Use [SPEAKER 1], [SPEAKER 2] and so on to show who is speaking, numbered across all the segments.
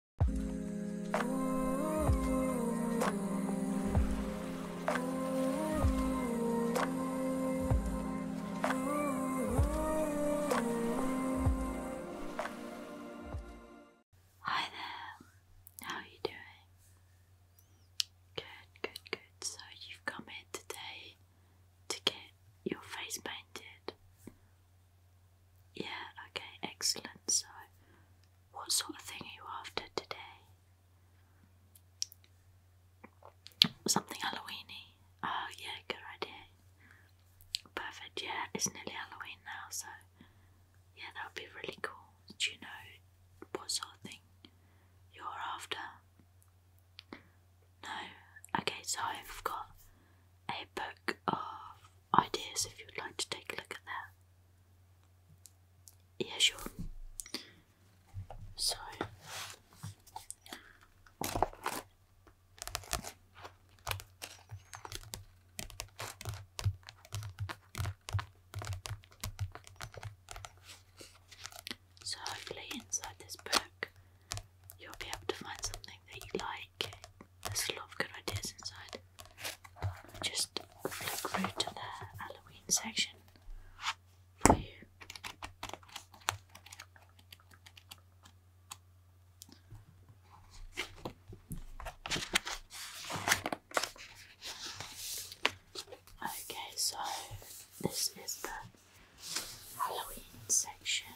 [SPEAKER 1] Hi there, how are you doing? Good, good, good. So, you've come in today to get your face painted. Yeah, okay, excellent. So, what sort of thing are you after today? Something Halloweeny. Oh, yeah, good idea. Perfect, yeah, it's nearly Halloween now, so yeah, that would be really cool. Do you know what sort of thing you're after? No? Okay, so I've got a book of ideas if you'd like to take a look at that. Yeah, sure. So. So, hopefully, inside this book, you'll be able to find something that you like like There's a lot of good ideas inside. Just flick through to the Halloween section for you. Okay, so this is the Halloween section.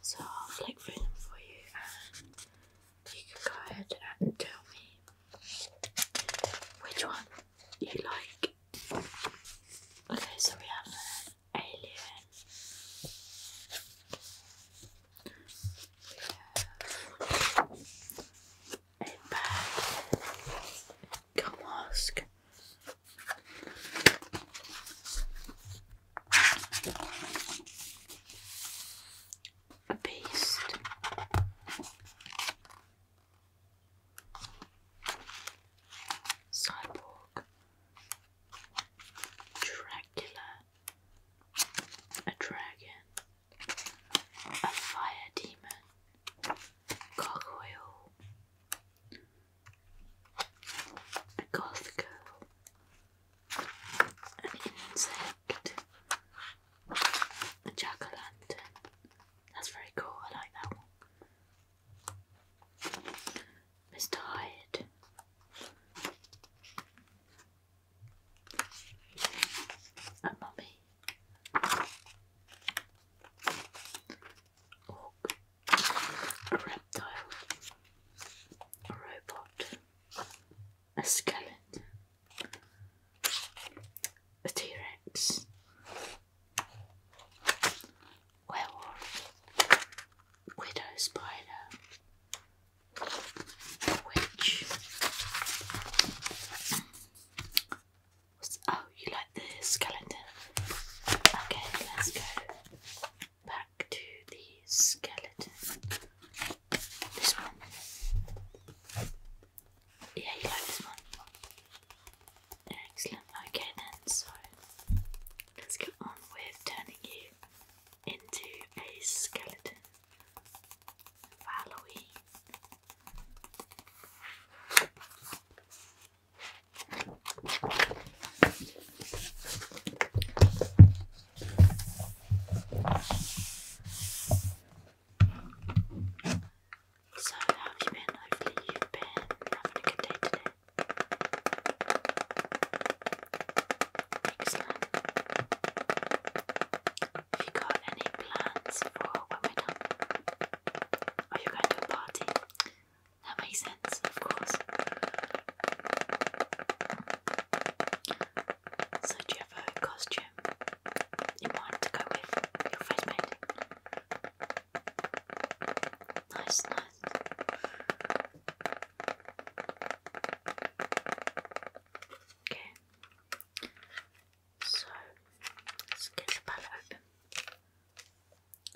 [SPEAKER 1] So I'll flick through them for you and you can go ahead and tell me which one you like. Okay, so we have an alien. a bag, a mask, a beast, Cyborg, Dracula, a dragon, a fire demon, gargoyle, a goth girl, an insect, a jack That's very cool, I like that one. Mr. Hyde. A mummy a reptile, a robot, a skeleton, a T Rex, werewolf, widow spider, witch, oh, you like the skeleton? Okay, let's go back to the skeleton. This one. Yeah, you like this one. Excellent. Okay then, so let's get on with turning you into a skeleton for Halloween. So, how have you been? Hopefully, you been having a good day today. Excellent. Have you got any plans for when we're done? Are you going to a party? That makes sense, of course. So, do you have a costume in mind to go with your face Nice, nice. Okay. So, let's get the palette open.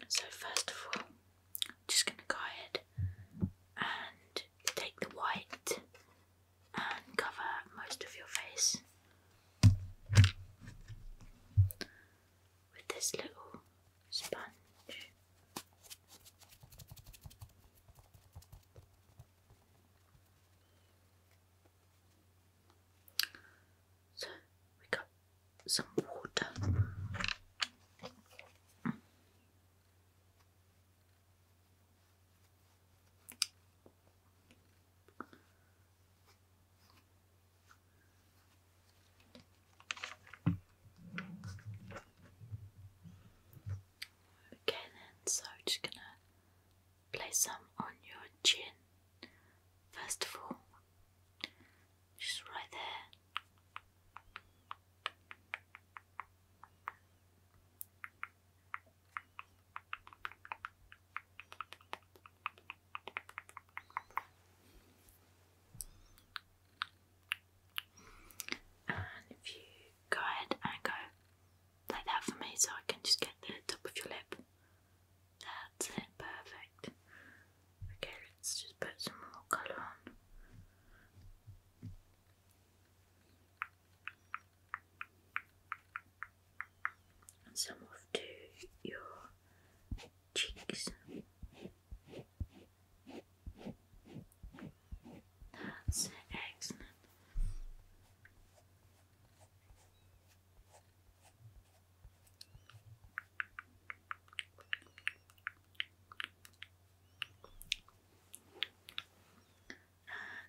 [SPEAKER 1] So first of all, I'm just going to go ahead and take the white and cover most of your face with this little sponge. So we got some water. Okay, then, so just gonna place some on your chin. First of all, just right there. And if you go ahead and go like that for me, so I can just get the top of your lip. That's it, perfect. Okay, let's just put some more colour on. some off to your cheeks. That's excellent.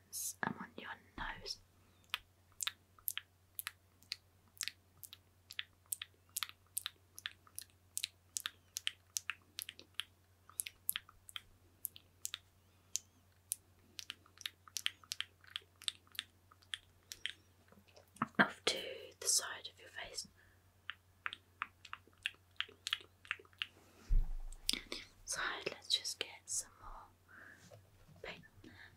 [SPEAKER 1] Yes, i on your nose. Off to the side of your face. Side, let's just get some more paint on there.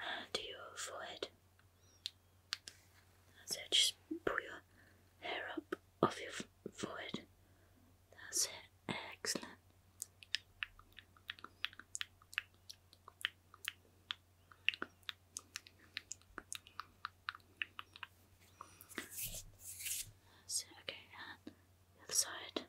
[SPEAKER 1] Uh, do your forehead. So just pull your hair up. Of your forehead. That's it. Excellent. That's Okay, and the other side.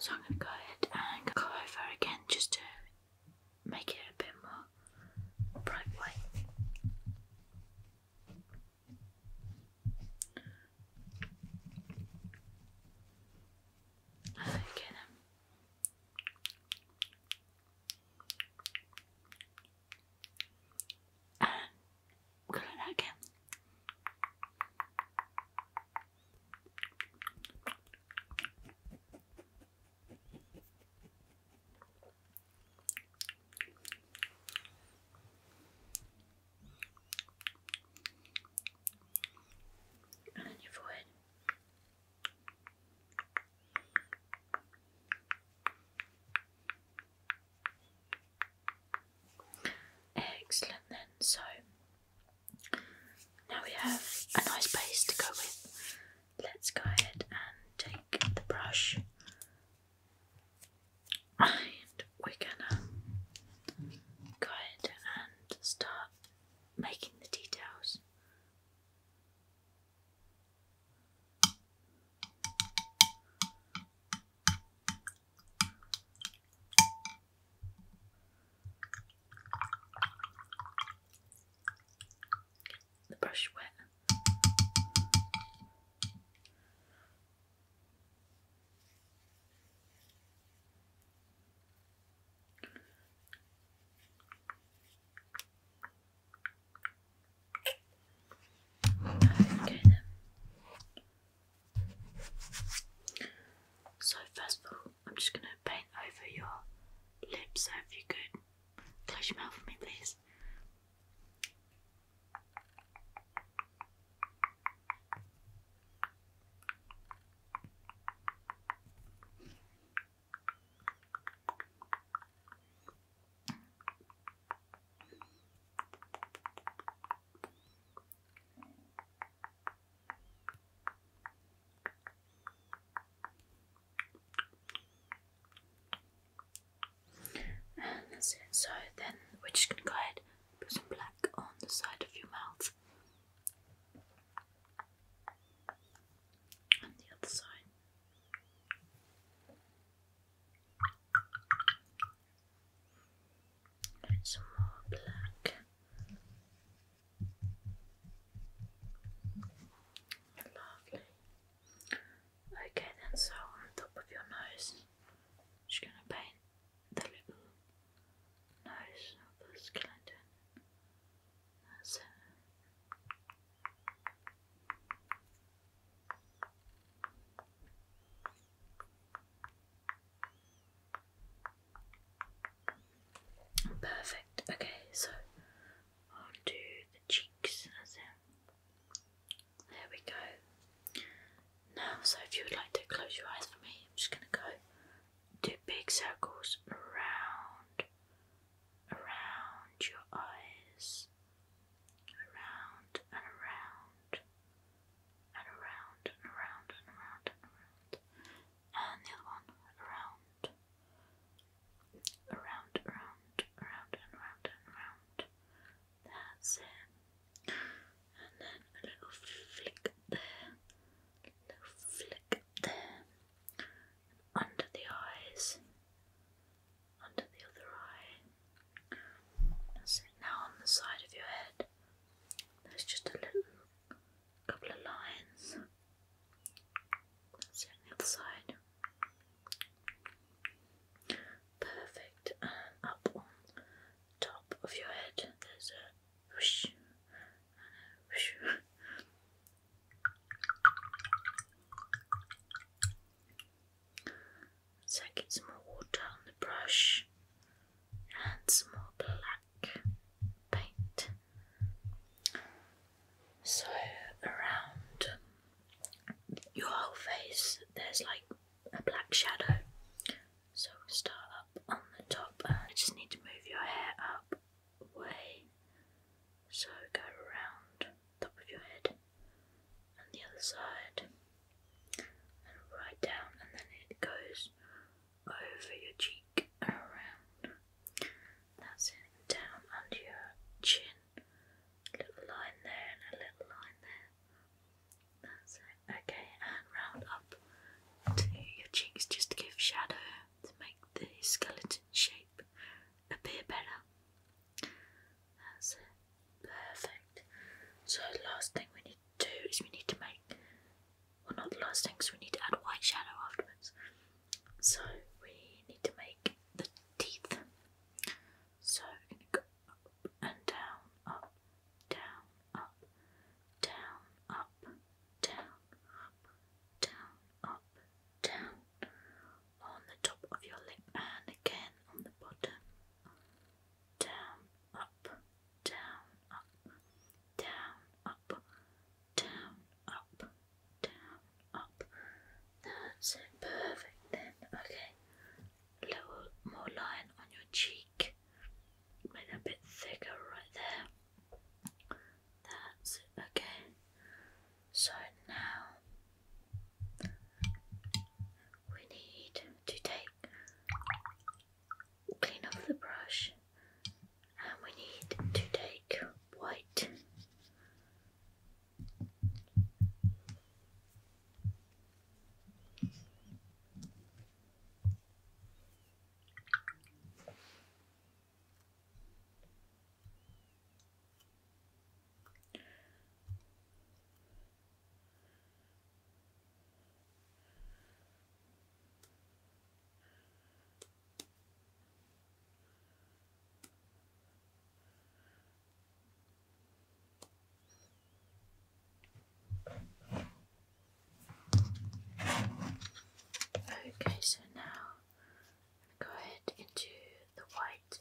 [SPEAKER 1] So I'm going to go ahead and go over again just to make it a bit more bright white. Okay then. And uh, colour that again. And then your Excellent, then so now we have a nice base to go with. Let's go ahead and take the brush and we're gonna go ahead and start making the details the brush wet. Okay then. So first of all I'm just gonna paint over your lips, so if you could close your mouth for me, please. So then we're just gonna go ahead and put some black on the side of your mouth. And the other side. Get some more black. Lovely. Okay, then so on top of your nose, I'm just going to paint the little nose of this skeleton. That's Perfect. Okay, so I'll do the cheeks as in. There we go. Now, so if you would like to close your eyes for me, I'm just going to go do big circles around, around your eyes, around and around and around and around and around and around and the other one around, around, around, around, and round and round. That's it. And then a little flick there, little flick there, under the eyes, under the other eye. That's Now on the side of your head, there's just a little couple of lines. That's on the other side. Perfect. And top of your head, there's a whoosh and a whoosh. get some more water on the brush and some more black paint. So around your whole face, there's like a black shadow. So start up on the top. Uh, I just need to move your hair up away. So go around top of your head and the other side and right down and then it goes over your cheek around. That's it. Down under your chin. little line there and a little line there. That's it. Okay, and round up to your cheeks just to give shadow to make the skeleton shape appear better. That's it. Perfect. So last thing we need to do is we need to make well not the last thing we need to add white shadow afterwards. So we need to make the teeth. So we're going to go up and down, up, down, up, down, up, down, up, down, on the top of your lip and again on the bottom down, up, down, up, down, up, down, up, down, up. That's it, perfect then. Okay, little more line on your cheek, make that a bit thicker right there. That's it, okay. So now. We need to take clean up the brush and we need to take white. Okay, so now I'm going to go ahead into the white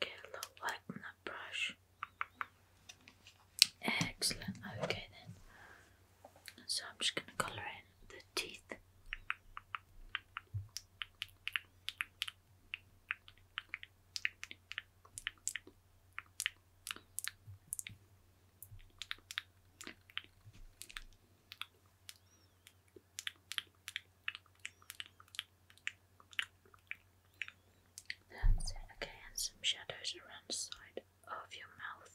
[SPEAKER 1] get a little wet on brush. Excellent, okay then. So I'm just going to colour in the teeth. Okay, and some shadows around the side of your mouth.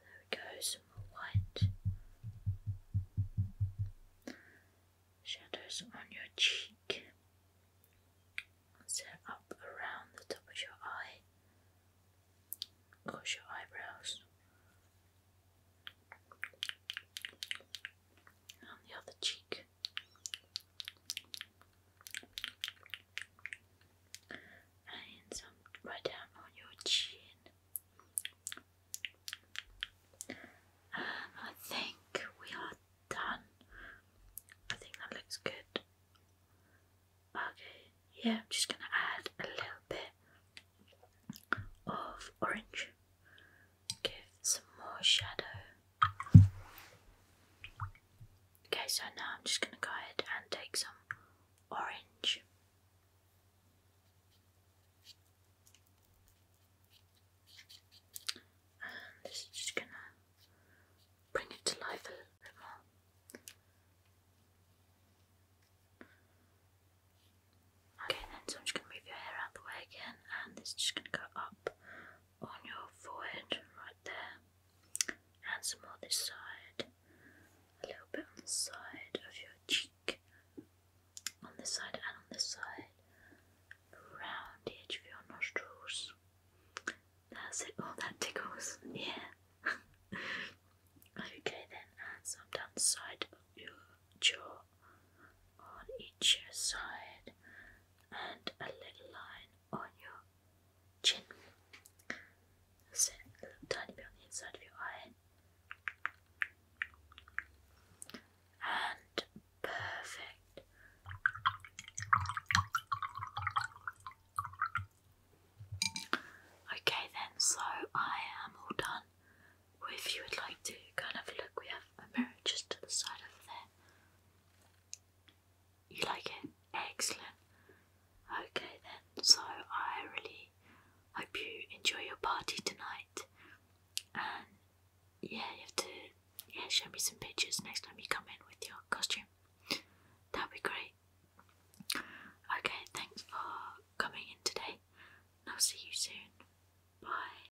[SPEAKER 1] There we go, some white. Shadows on your cheek. Set up around the top of your eye. Cause your eyebrows and the other cheek. And some right down on your chin. I think we are done. I think that looks good. Okay, yeah, I'm just going to add a little bit of orange, give some more shadow. Okay, so now I'm just going to go ahead and take some orange. And this is just going to bring it to life a little bit more. Okay, then, so I'm just going to move your hair out the way again, and this is just going to go up on your forehead right there, and some more this side, a little bit on the side of your cheek, on this side and on this side, around the edge of your nostrils. That's it, oh, that tickles, yeah okay then, hands down the side of your jaw on each side and a little line on your chin. a little tiny bit on the inside of your eye. And perfect. Okay, then, so I am all done. if you would like to kind of look, we have a mirror just to the side over there. You like it? Excellent. Okay, then, so I really hope you enjoy your party tonight. And yeah, you have to yeah, show me some pictures next time you come in with your costume. That'd be great. Okay, thanks for coming in today, I'll see you soon. Bye.